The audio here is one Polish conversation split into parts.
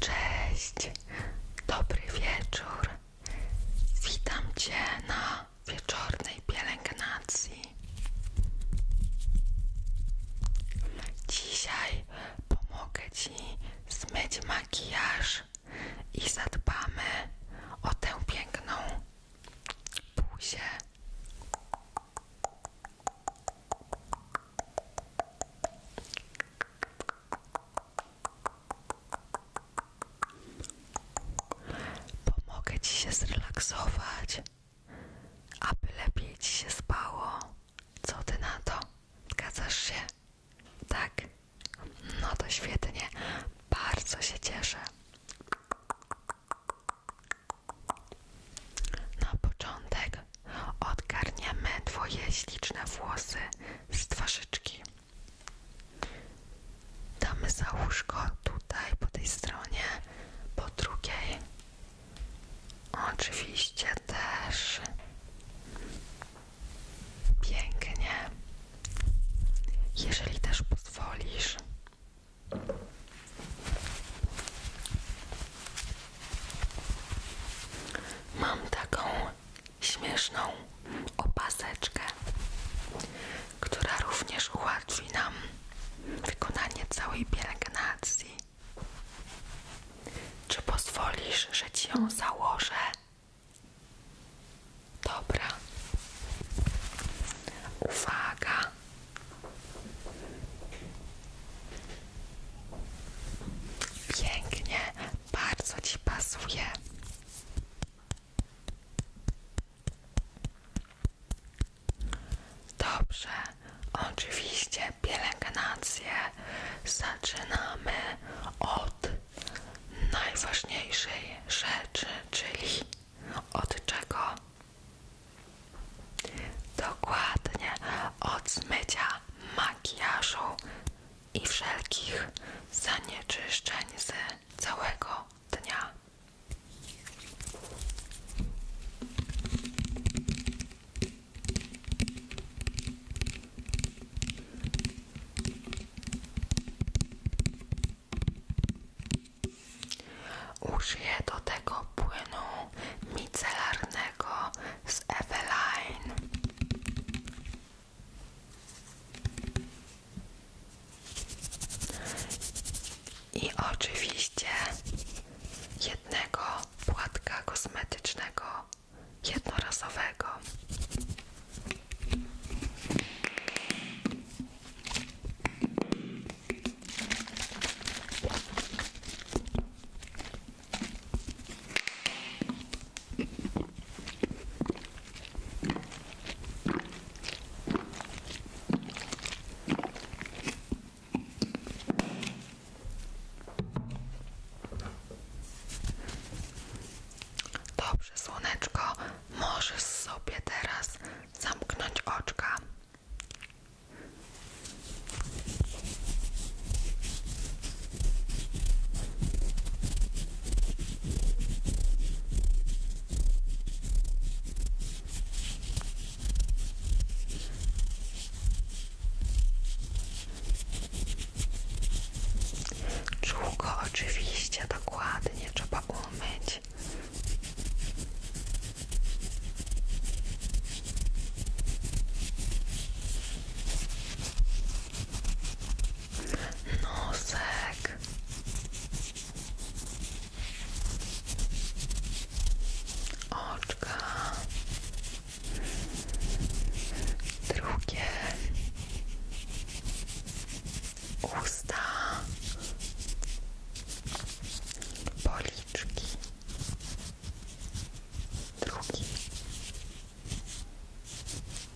Cześć, dobry wieczór. Witam Cię na wieczornej pielęgnacji. Dzisiaj pomogę Ci zmyć makijaż i zadbamy o tę piękną buzię. Pomogę ci się zrelaksować, aby lepiej ci się spało. Co ty na to? Zgadzasz się? Tak? No to świetnie. Bardzo się cieszę. Na początek odgarniemy Twoje śliczne włosy z twarzyczki. Damy za łóżko tutaj, po tej stronie, po drugiej. Oczywiście też. Pięknie. Jeżeli też pozwolisz, Mam taką śmieszną opaseczkę, która również ułatwi nam wykonanie całej pielęgnacji. Czy pozwolisz, że ci ją założę? Dobra. Uwaga. Pięknie, bardzo ci pasuje. Dobrze, oczywiście pielęgnację zaczynamy od najważniejszej rzeczy, czyli od czego? Dokładnie od zmycia makijażu i wszelkich zanieczyszczeń z całego dnia. Użyję do tego płynu micelarnego z Eveline. I oczywiście jednego płatka kosmetycznego jednorazowego. Dobrze, słoneczko, możesz sobie teraz zamknąć oczka. Długo oczywiście, dokładnie trzeba umyć zrobić. Nosek. Oczka. Drugie usta, policzki, drugi,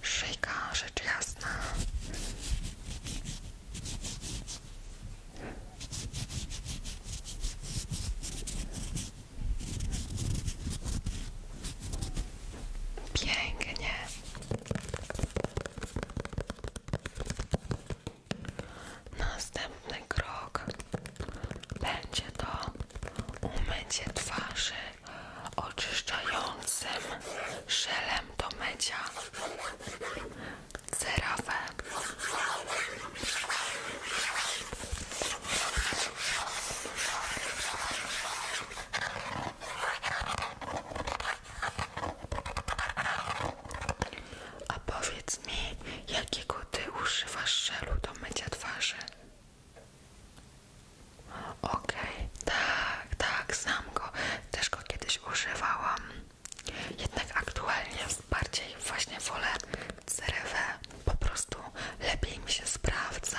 szyjka, rzecz jasna. Pięknie. Następny krok będzie to umycie twarzy oczyszczającym szelem do mycia cerawę. A powiedz mi, jakiego ty używasz żelu do mycia twarzy? Okej, tak, tak, znam go. Też go kiedyś używałam. Jednak aktualnie bardziej właśnie wolę cerewę. Po prostu lepiej mi się sprawdza.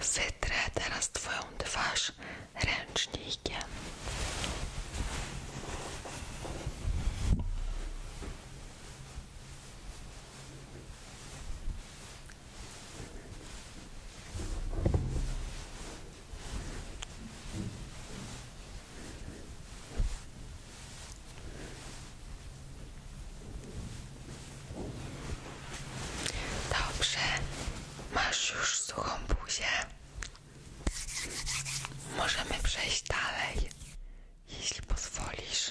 Sytrę teraz Twoją twarz ręcznikiem. Dobrze, masz już suchą buzię. Możemy przejść dalej, jeśli pozwolisz.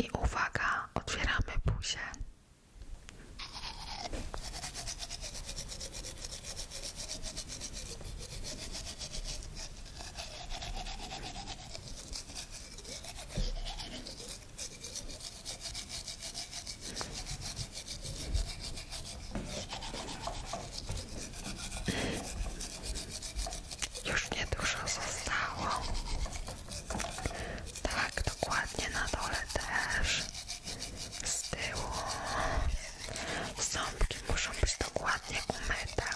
I uwaga, otwieramy buzię. Już niedużo zostało. Tak, dokładnie na dole też. Z tyłu. Ząbki muszą być dokładnie umyte.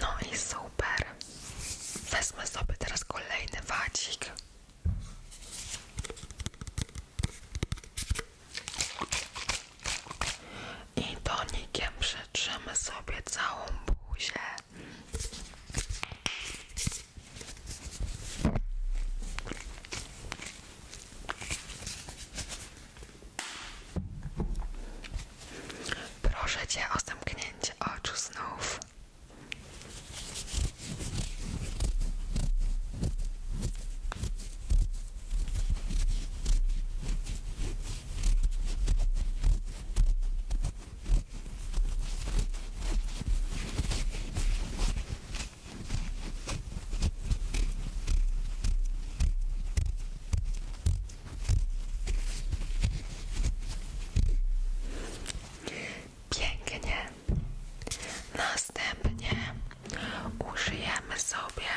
No i super. Wezmę sobie teraz kolejny wadzik. I tonikiem przetrzemy sobie całą buzię. Proszę Cię o zamknięcie oczu znów. Pięknie. Następnie użyjemy sobie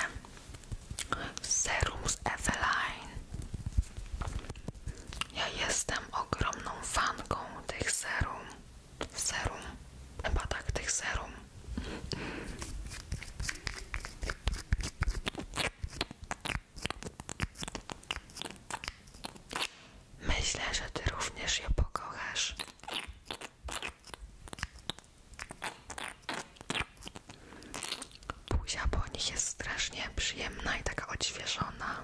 serum z Eveline. Ja jestem ogromną fanką tych serum serum, chyba tak, tych serum. Myślę, że ty również je pokochasz. Buzia po nich jest strasznie przyjemna i taka odświeżona.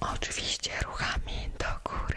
Oczywiście ruchami do góry.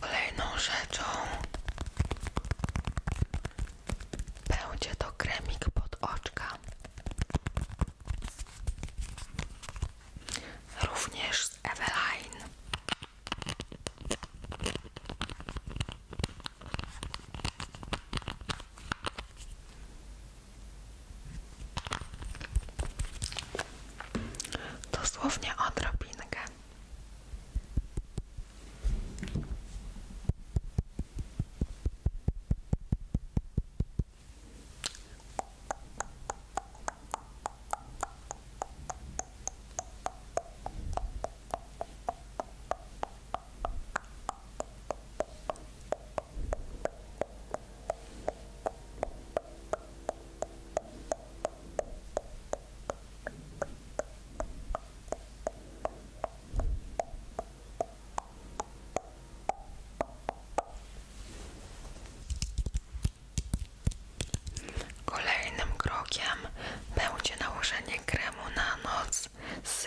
Kolejną rzeczą będzie to kremik pod oczka. Również z Eveline. Dosłownie odrobinkę. Kolejnym krokiem będzie nałożenie kremu na noc z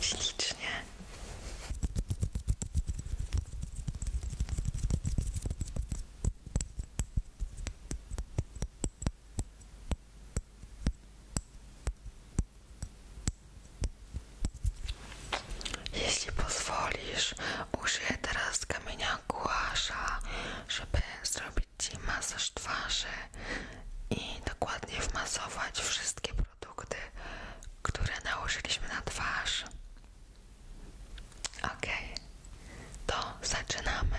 Ślicznie. Jeśli pozwolisz, użyję teraz kamienia głasza, żeby zrobić Ci masaż twarzy i dokładnie wmasować wszystkie produkty, które nałożyliśmy na twarz. Ok, to zaczynamy.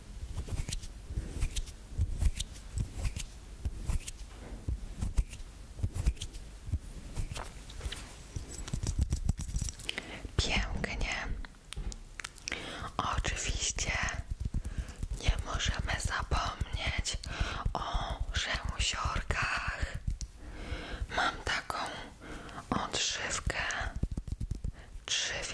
Pięknie. Oczywiście nie możemy zapomnieć o rzęsiorkach. Mam taką odżywkę trzy w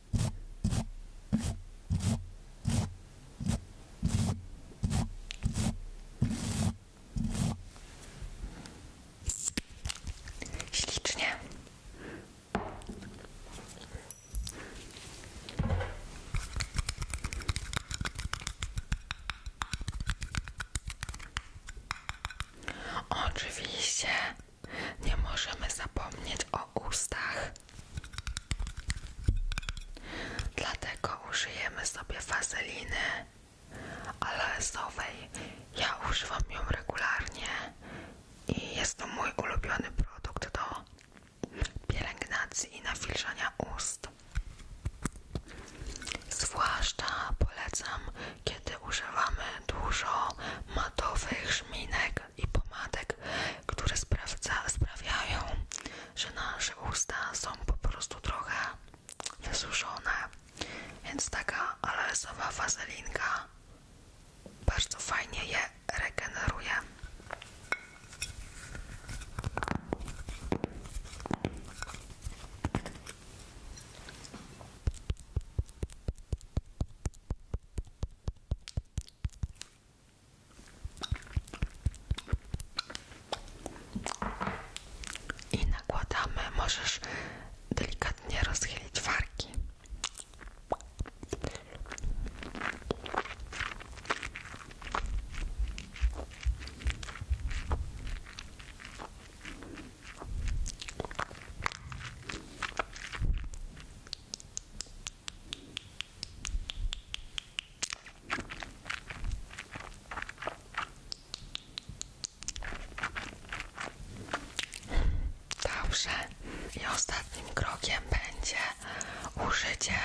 Ślicznie. Oczywiście nie możemy zapomnieć o ustach. Dlatego użyjemy sobie wazeliny aloesowej. Ja używam ją regularnie i jest to mój ulubiony produkt do pielęgnacji i nawilżania ust. Zwłaszcza polecam, kiedy używamy dużo matowych żminek szczoteczek i pomadek, które sprawiają, że nasze usta są po prostu trochę wysuszone. Więc taka aloesowa wazelinka bardzo fajnie je regeneruje. I nakładamy, możesz delikatnie rozchylić wargi. Dobrze. I ostatnim krokiem będzie użycie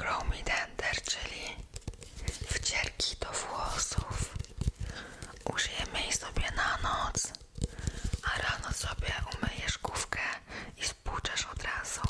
Chromie czyli wcierki do włosów. Użyjemy jej sobie na noc a rano sobie umyjesz główkę i spłuczesz od razu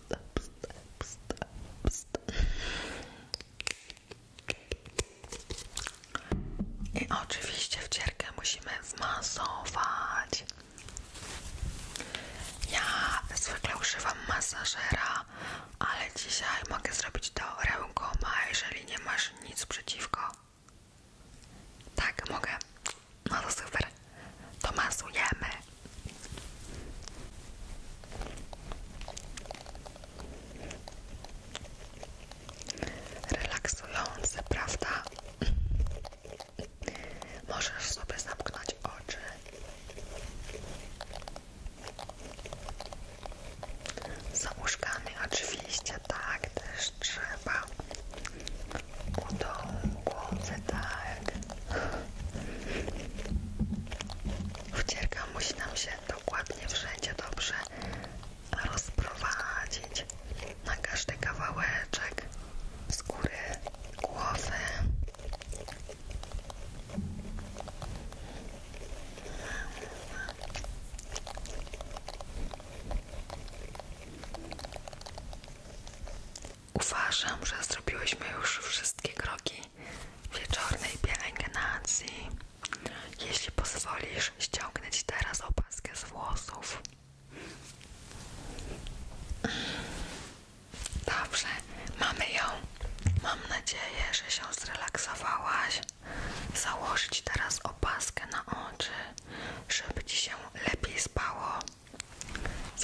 pst, pst, pst, pst. I oczywiście wcierkę musimy zmasować. Ja zwykle używam masażera, ale dzisiaj mogę zrobić to rękoma, jeżeli nie masz nic przeciwko. Tak, mogę. No to super. Tomaszu masujemy. Relaksujące, prawda? Możesz sobie zamknąć oczy. Za łóżkami oczywiście tak też trzeba. U dołu, tak tak. musi nam się dokładnie wszędzie dobrze rozprowadzić na każdy kawałeczek skóry głowy. Uważam, że zrobiłyśmy już wszystkie kroki wieczornej pielęgnacji. Jeśli pozwolisz, ściągnę teraz opaskę z włosów. Dobrze, mamy ją. Mam nadzieję, że się zrelaksowałaś. Założyć teraz opaskę na oczy, żeby Ci się lepiej spało.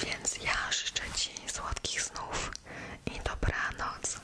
Więc ja życzę Ci słodkich snów i dobranoc.